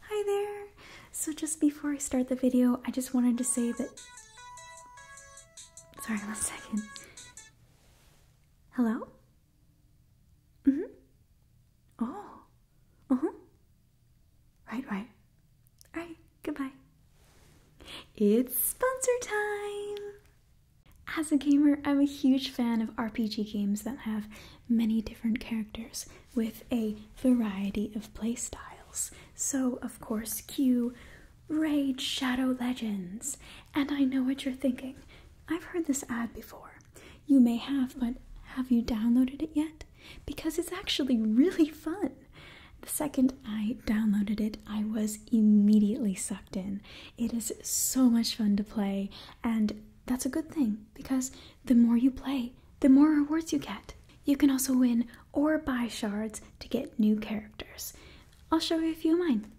Hi there! So just before I start the video, I just wanted to say that... Sorry, one second. Hello? Mm-hmm. Oh. Uh-huh. Right, right. Alright, goodbye. It's sponsor time! As a gamer, I'm a huge fan of RPG games that have many different characters with a variety of play styles. So, of course, Q, Rage, Shadow Legends. And I know what you're thinking. I've heard this ad before. You may have, but have you downloaded it yet? Because it's actually really fun. The second I downloaded it, I was immediately sucked in. It is so much fun to play, and that's a good thing because the more you play, the more rewards you get. You can also win or buy shards to get new characters. I'll show you a few of mine.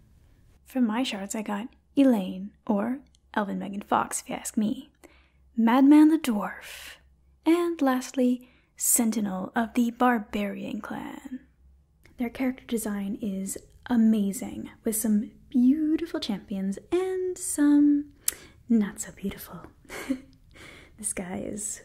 From my shards, I got Elaine, or Elvin Megan Fox, if you ask me, Madman the Dwarf, and lastly, Sentinel of the Barbarian Clan. Their character design is amazing, with some beautiful champions and some not so beautiful. this guy is,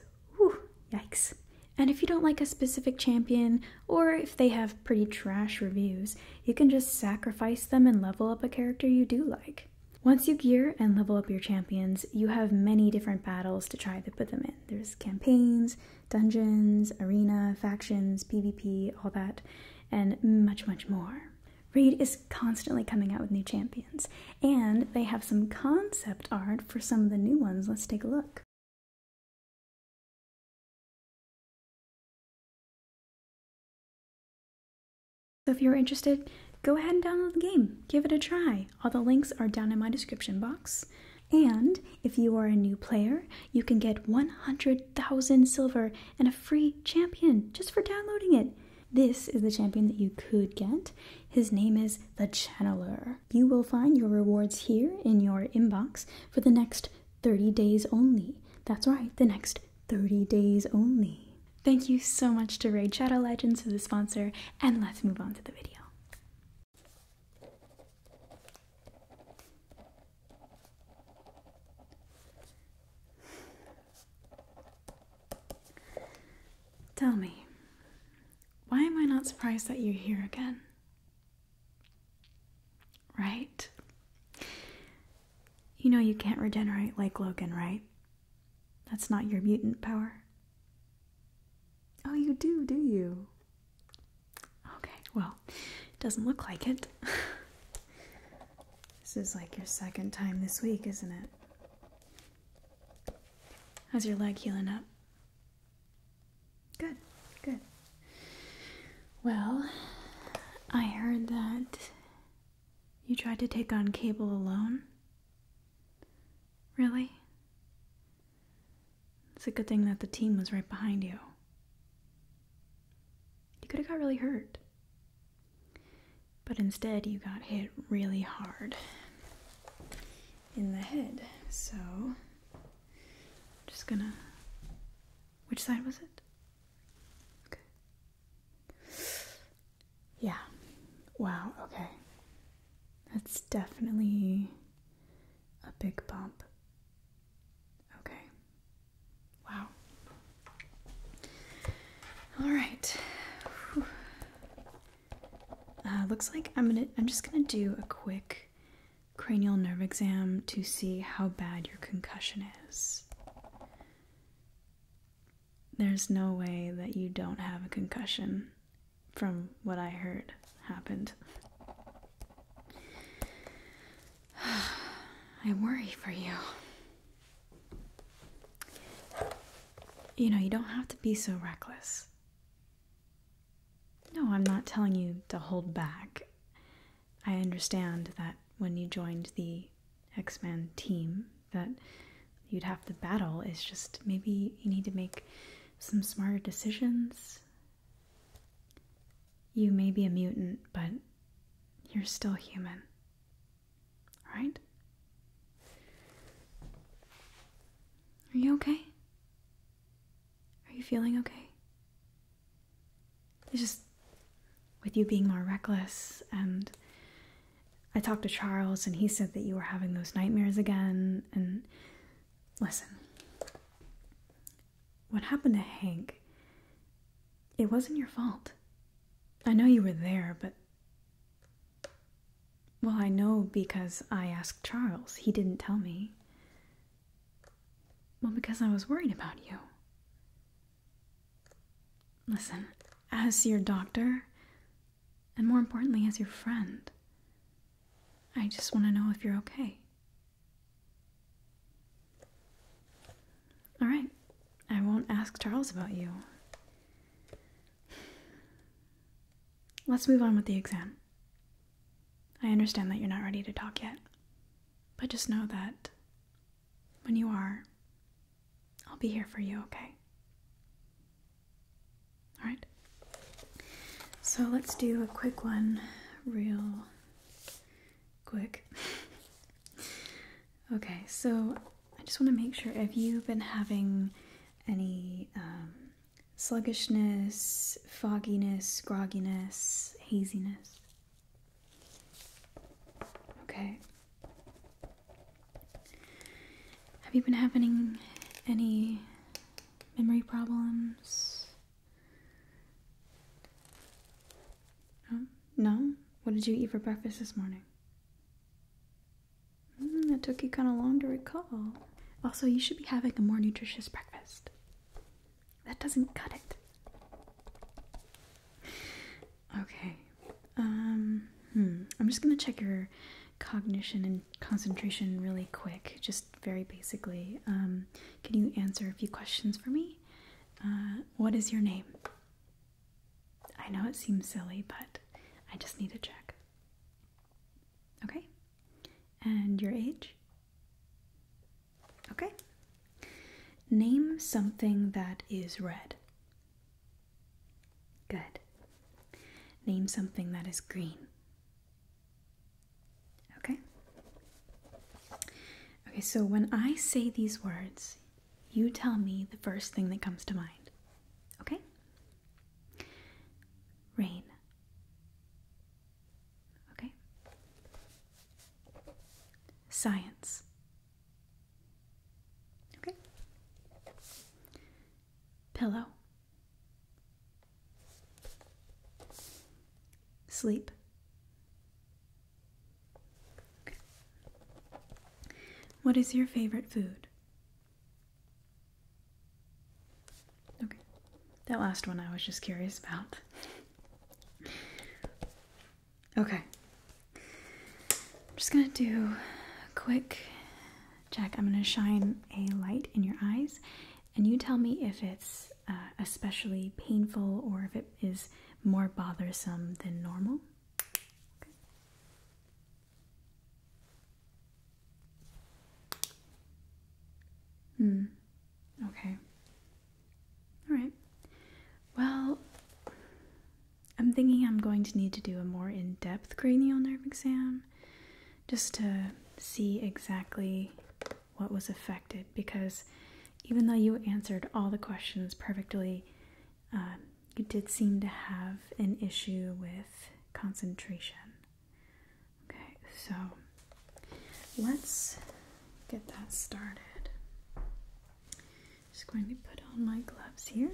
yikes. And if you don't like a specific champion, or if they have pretty trash reviews, you can just sacrifice them and level up a character you do like. Once you gear and level up your champions, you have many different battles to try to put them in. There's campaigns, dungeons, arena, factions, PvP, all that, and much, much more. Raid is constantly coming out with new champions, and they have some concept art for some of the new ones. Let's take a look. So if you're interested, go ahead and download the game. Give it a try. All the links are down in my description box. And if you are a new player, you can get 100,000 silver and a free champion just for downloading it. This is the champion that you could get. His name is the Channeler. You will find your rewards here in your inbox for the next 30 days only. That's right, the next 30 days only. Thank you so much to Raid Shadow Legends for the sponsor, and let's move on to the video. Tell me, why am I not surprised that you're here again? Right? You know you can't regenerate like Logan, right? That's not your mutant power. Oh, you do, do you? Okay, well, it doesn't look like it. This is like your second time this week, isn't it? How's your leg healing up? Good, good. Well, I heard that you tried to take on Cable alone. Really? It's a good thing that the team was right behind you. You could have got really hurt. But instead, you got hit really hard in the head. So, I'm just gonna. Which side was it? Yeah. Wow, okay. That's definitely a big bump. Okay. Wow. All right. Uh, looks like I'm gonna. I'm just gonna do a quick cranial nerve exam to see how bad your concussion is. There's no way that you don't have a concussion, from what I heard happened. I worry for you. You know, you don't have to be so reckless. No, I'm not telling you to hold back. I understand that when you joined the X-Men team that you'd have to battle is just maybe you need to make some smarter decisions. You may be a mutant, but you're still human. Right? Are you okay? Are you feeling okay? It's just with you being more reckless and I talked to Charles and he said that you were having those nightmares again and listen. What happened to Hank? It wasn't your fault. I know you were there, but well, I know because I asked Charles. He didn't tell me. Well, because I was worried about you. Listen, as your doctor, and more importantly, as your friend, I just want to know if you're okay. All right. I won't ask Charles about you. Let's move on with the exam. I understand that you're not ready to talk yet, but just know that when you are, I'll be here for you, okay? All right. So let's do a quick one, real quick. okay, so I just want to make sure if you've been having any um, sluggishness, fogginess, grogginess, haziness. Okay. Have you been having any memory problems? no? What did you eat for breakfast this morning? Mm, it took you kind of long to recall. Also, you should be having a more nutritious breakfast. That doesn't cut it. Okay. Um, hmm. I'm just gonna check your cognition and concentration really quick, just very basically. Um, can you answer a few questions for me? Uh, what is your name? I know it seems silly, but I just need to check. Okay? And your age? Okay. Name something that is red. Good. Name something that is green. Okay? Okay, so when I say these words, you tell me the first thing that comes to mind. Okay? Rain. Okay? Science. Okay? Pillow. Sleep. What is your favorite food? Okay, that last one I was just curious about. Okay, I'm just gonna do a quick check. I'm gonna shine a light in your eyes, and you tell me if it's uh, especially painful or if it is more bothersome than normal. Hmm. Okay. All right. Well, I'm thinking I'm going to need to do a more in depth cranial nerve exam just to see exactly what was affected because even though you answered all the questions perfectly, um, you did seem to have an issue with concentration. Okay, so let's get that started. Just going to put on my gloves here.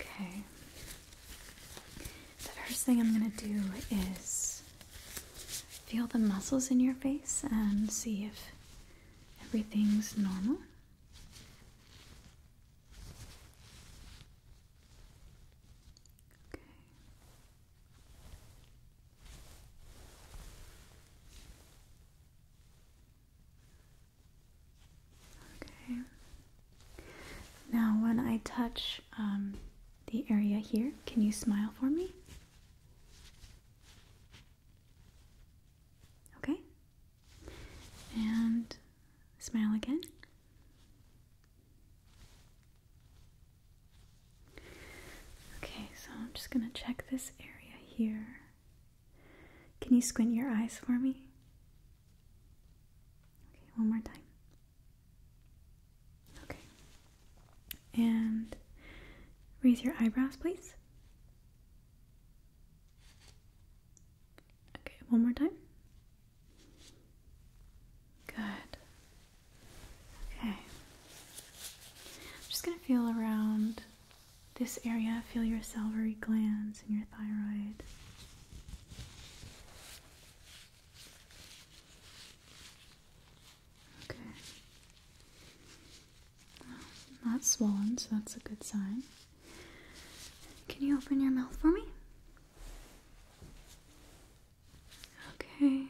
Okay. The first thing I'm going to do is feel the muscles in your face and see if everything's normal. Okay. Okay. Now, when I touch um, the area here. Can you smile for me? Okay. And smile again. Okay, so I'm just going to check this area here. Can you squint your eyes for me? Okay, one more time. Okay. And raise your eyebrows, please. Okay, one more time. Good. Okay. I'm just going to feel around this area, feel your salivary glands and your thyroid. Okay. not swollen, so that's a good sign. Can you open your mouth for me? Okay.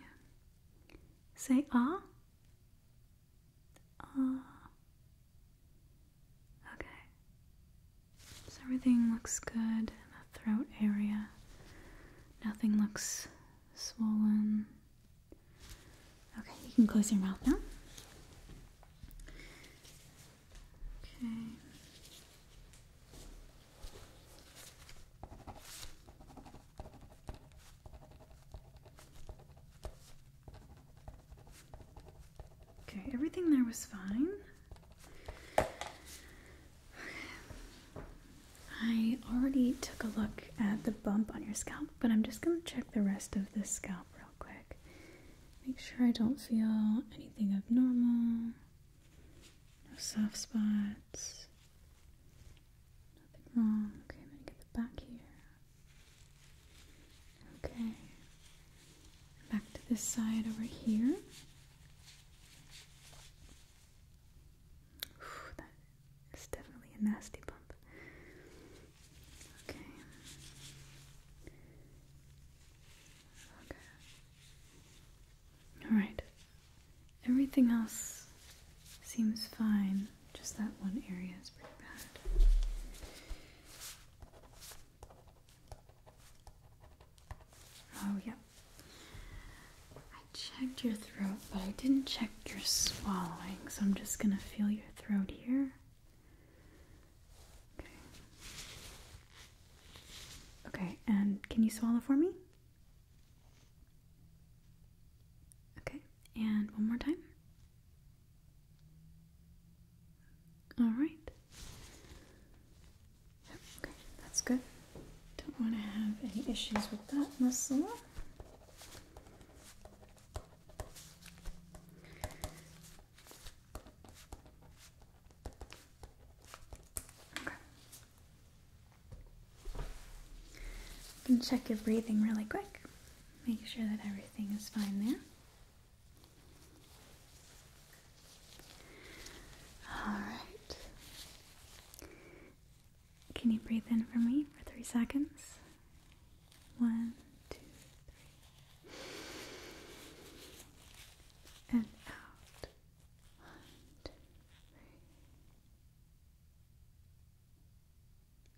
Say ah. Ah. Okay. So everything looks good in the throat area. Nothing looks swollen. Okay, you can close your mouth now. Okay. Okay, everything there was fine. I already took a look at the bump on your scalp, but I'm just going to check the rest of the scalp real quick. Make sure I don't feel anything abnormal. No soft spots. Nothing wrong. Okay, I'm going to get the back here. Okay. Back to this side over here that is definitely a nasty bump. Okay. Okay. Alright. Everything else seems fine, just that one area is pretty bad. Oh, yep, I checked your throat, but I didn't check your swallowing, so I'm just gonna feel your throat here. Okay. Okay, and can you swallow for me? Okay, and one more time. All right. Okay, that's good. Don't want to have any issues with that muscle. Okay. You can check your breathing really quick. Make sure that everything is fine there. All right. Can you breathe in for me for three seconds? One, two, three. And out. One, two,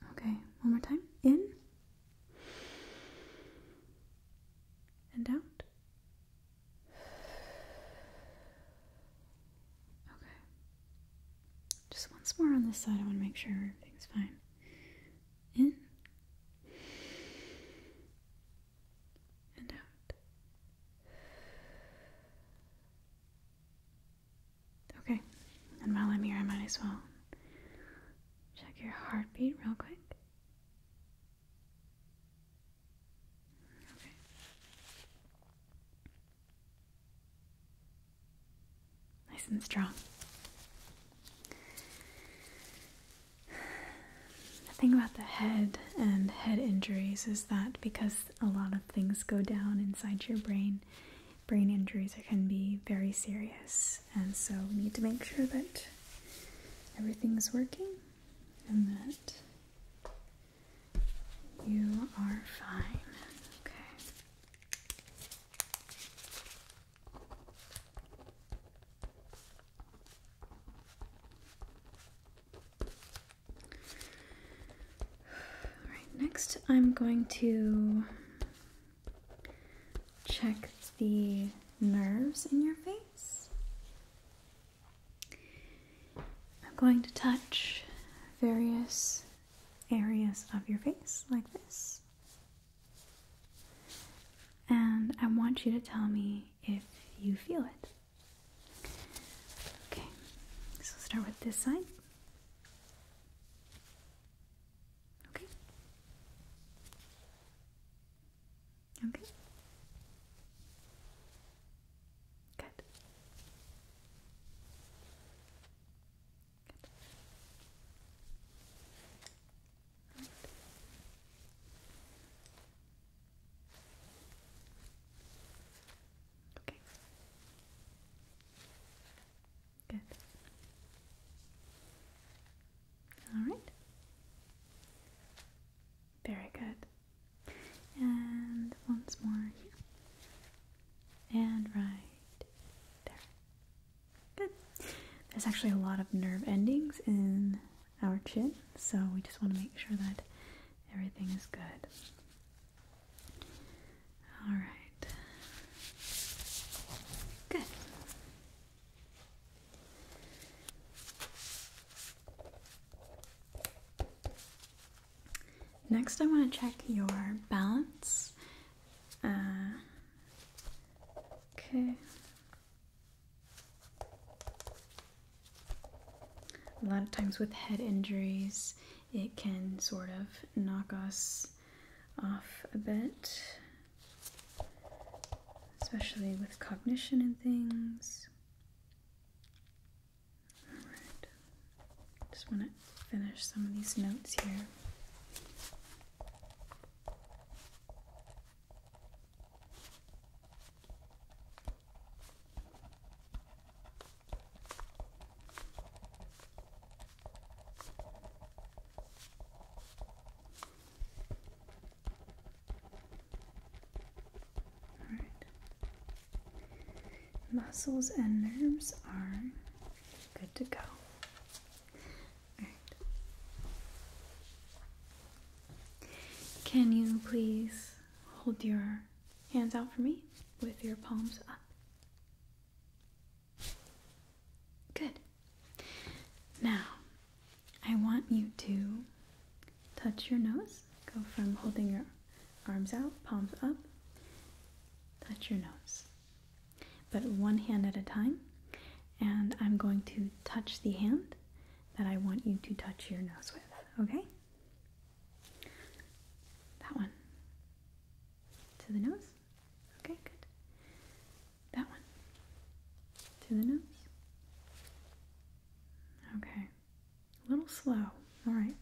three. Okay, one more time. In. And out. Okay. Just once more on this side. I want to make sure everything's fine. In and out. Okay. And while I'm here, I might as well check your heartbeat real quick. Okay. Nice and strong. The thing about the head and head injuries is that because a lot of things go down inside your brain, brain injuries can be very serious. And so we need to make sure that everything's working and that you are fine. Okay. All right, next I'm going to check the nerves in your face. I'm going to touch various areas of your face like this. And I want you to tell me if you feel it. Okay, so start with this side. Okay. Okay. Good. Good. Right. Okay. Good. All right. Very good and once more here, and right there. Good. There's actually a lot of nerve endings in our chin, so we just want to make sure that everything is good. All right. Good. Next, I want to check your balance. Uh, okay. A lot of times with head injuries, it can sort of knock us off a bit, especially with cognition and things. Alright. Just want to finish some of these notes here. All right muscles and nerves are good to go. Can you please hold your hands out for me with your palms up? Good. Now, I want you to touch your nose Go from holding your arms out, palms up, touch your nose. But one hand at a time. And I'm going to touch the hand that I want you to touch your nose with, okay? That one. To the nose. Okay, good. That one. To the nose. Okay. A little slow. All right.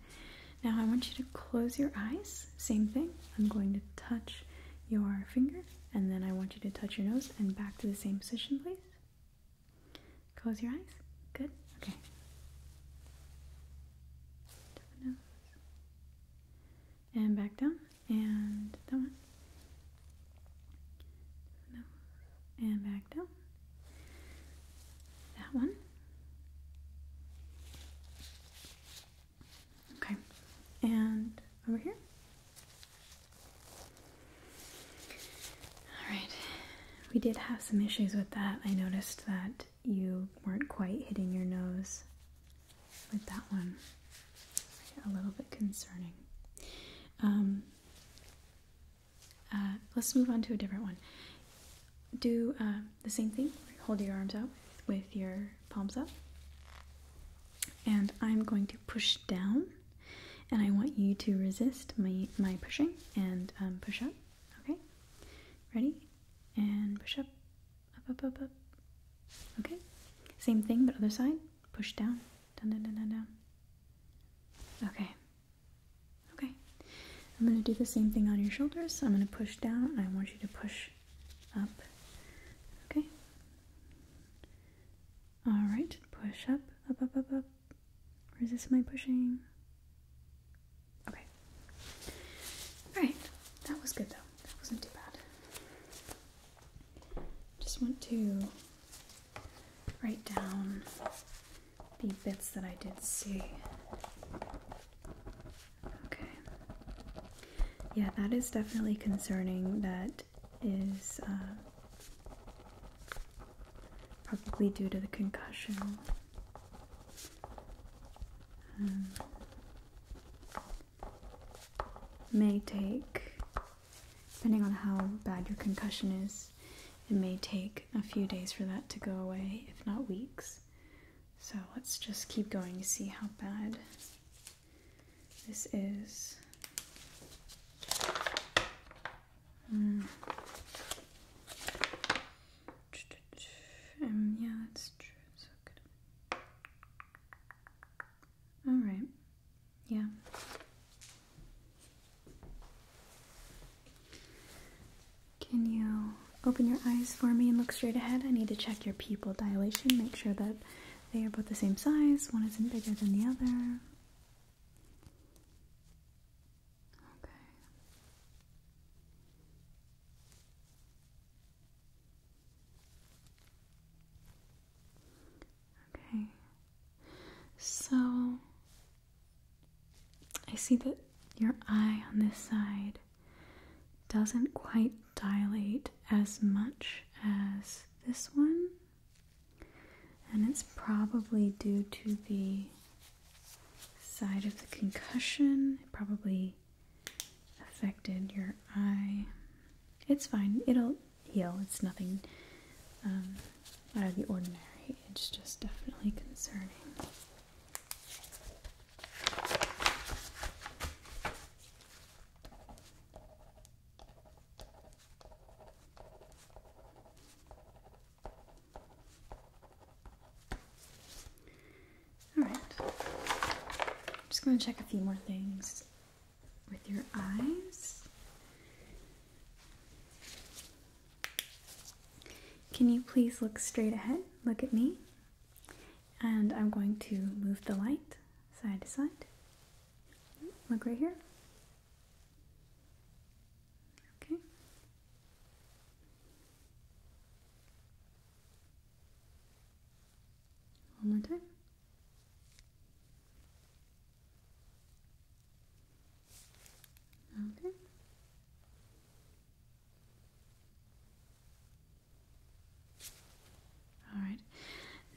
Now I want you to close your eyes. Same thing. I'm going to touch your finger and then I want you to touch your nose and back to the same position, please. Close your eyes. Good. Okay. nose. And back down. And that one. nose. And back down. That one. Okay, and over here. All right, we did have some issues with that. I noticed that you weren't quite hitting your nose with that one. A little bit concerning. Um, uh, let's move on to a different one. Do um, the same thing. Hold your arms up with your palms up. And I'm going to push down, and I want you to resist my, my pushing and um, push up. Okay? Ready? And push up, up, up, up, up. Okay? Same thing, but other side. Push down, down, down, down, down. Okay. Okay. I'm going to do the same thing on your shoulders. I'm going to push down. I want you to push up. Okay. All right. Push up, up, up, up, up. Resist my pushing. Okay. All right. That was good though. That wasn't too bad. Just want to write down the bits that I did see. Okay. Yeah, that is definitely concerning. That is uh, probably due to the concussion. Um, may take, depending on how bad your concussion is, it may take a few days for that to go away, if not weeks. So let's just keep going to see how bad this is. Mm. Um, yeah, that's true. All right. Yeah. Can you open your eyes for me and look straight ahead? I need to check your pupil dilation, make sure that they are both the same size, one isn't bigger than the other. Okay. Okay. So I see that your eye on this side doesn't quite dilate as much as this one, and it's probably due to the side of the concussion. It probably affected your eye. It's fine, it'll heal, it's nothing um, out of the ordinary, it's just definitely concerning. All just going to check a few more things with your eyes. Can you please look straight ahead? Look at me and I'm going to move the light side to side. Look right here. Okay. One more time. Okay. Alright,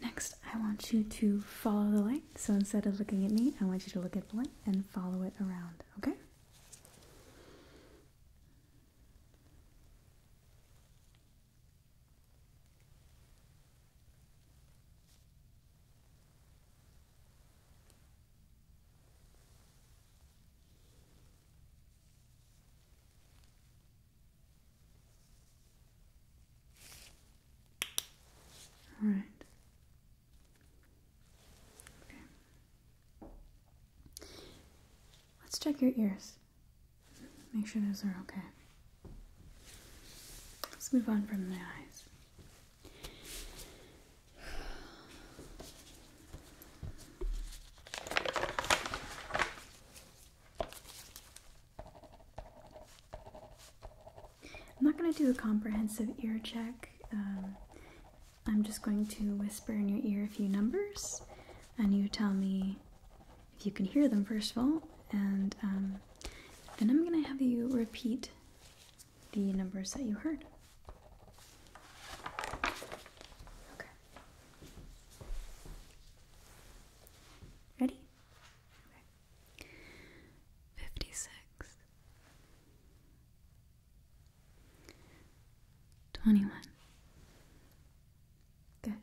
next I want you to follow the light. So instead of looking at me, I want you to look at the light and follow it around, okay? All right. Okay. Let's check your ears. Make sure those are okay. Let's move on from the eyes. I'm not going to do a comprehensive ear check. Um, I'm just going to whisper in your ear a few numbers, and you tell me if you can hear them, first of all, and um, then I'm going to have you repeat the numbers that you heard. Ready? Fifty six. Twenty one. Good.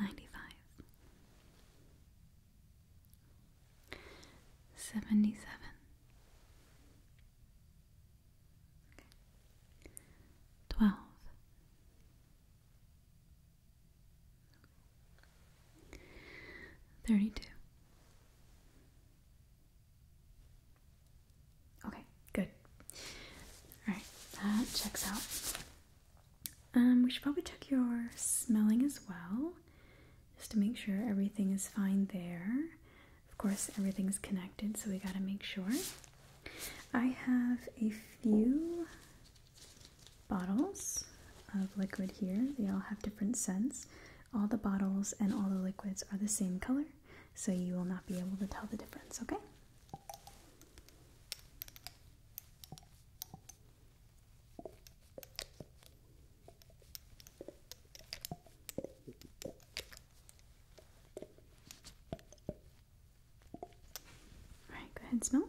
Ninety five. Seventy seven. Twelve. Thirty-two. Okay, good. Alright, that checks out. Um, we should probably check your smelling as well just to make sure everything is fine there. Of course, everything's connected, so we got to make sure. I have a few bottles of liquid here. They all have different scents. All the bottles and all the liquids are the same color, so you will not be able to tell the difference, okay? All right, go ahead and smell.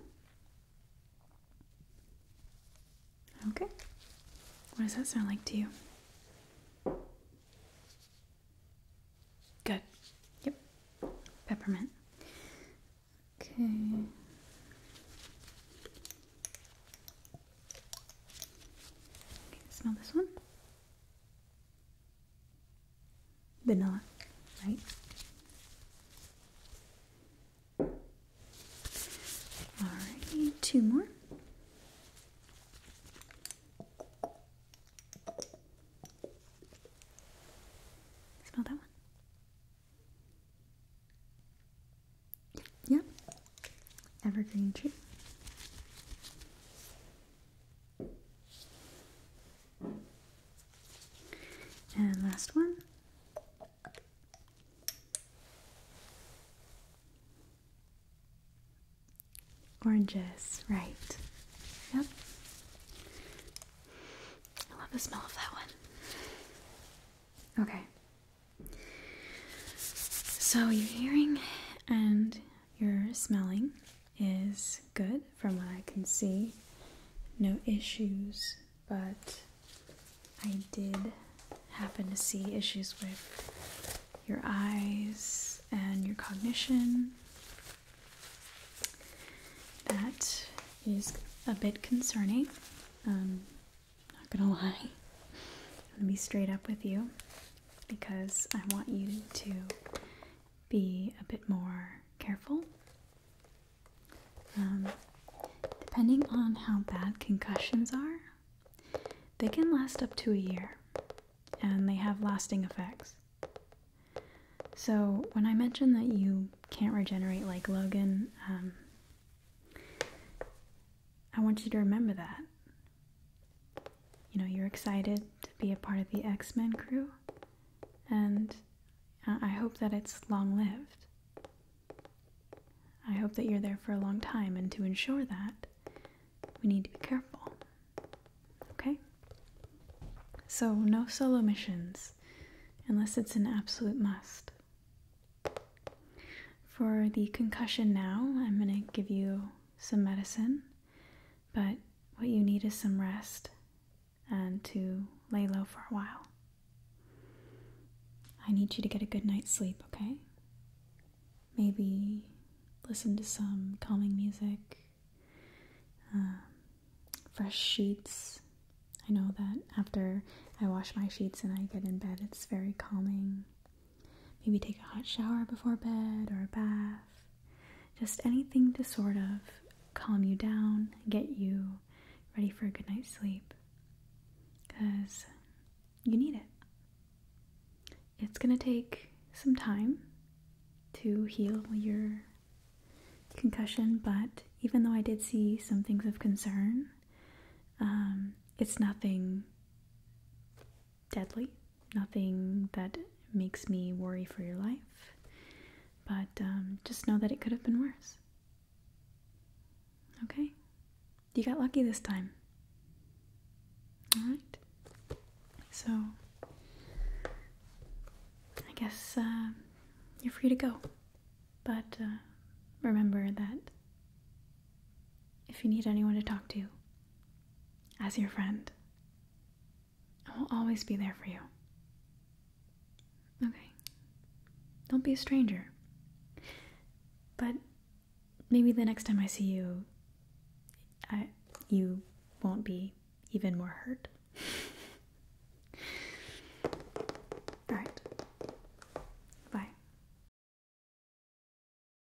Okay. What does that sound like to you? Good. Yep. Peppermint. Okay. Okay, smell this one. Vanilla, right? Alrighty, two more. Smell that one. Yep. Evergreen tree. And last one. Oranges, right. Yep. I love the smell of that one. Okay. So, your hearing and your smelling is good from what I can see. No issues, but I did happen to see issues with your eyes and your cognition. That is a bit concerning. Um, not gonna lie. I'm gonna be straight up with you because I want you to be a bit more careful. Um, depending on how bad concussions are, they can last up to a year and they have lasting effects. So, when I mentioned that you can't regenerate like Logan, um, I want you to remember that. You know, you're excited to be a part of the X Men crew, and I hope that it's long lived. I hope that you're there for a long time, and to ensure that, we need to be careful. Okay? So, no solo missions unless it's an absolute must. For the concussion now, I'm going to give you some medicine, but what you need is some rest and to lay low for a while. I need you to get a good night's sleep, okay? Maybe listen to some calming music, um, fresh sheets. I know that after I wash my sheets and I get in bed, it's very calming. Maybe take a hot shower before bed or a bath. Just anything to sort of calm you down, get you ready for a good night's sleep. Because you need it. It's going to take some time to heal your concussion, but even though I did see some things of concern, um, it's nothing deadly nothing that makes me worry for your life. But um, just know that it could have been worse. Okay? You got lucky this time. Alright? So, I guess uh, you're free to go. But uh, remember that if you need anyone to talk to, as your friend. I will always be there for you. Okay. Don't be a stranger. But maybe the next time I see you, I, you won't be even more hurt. All right. Bye.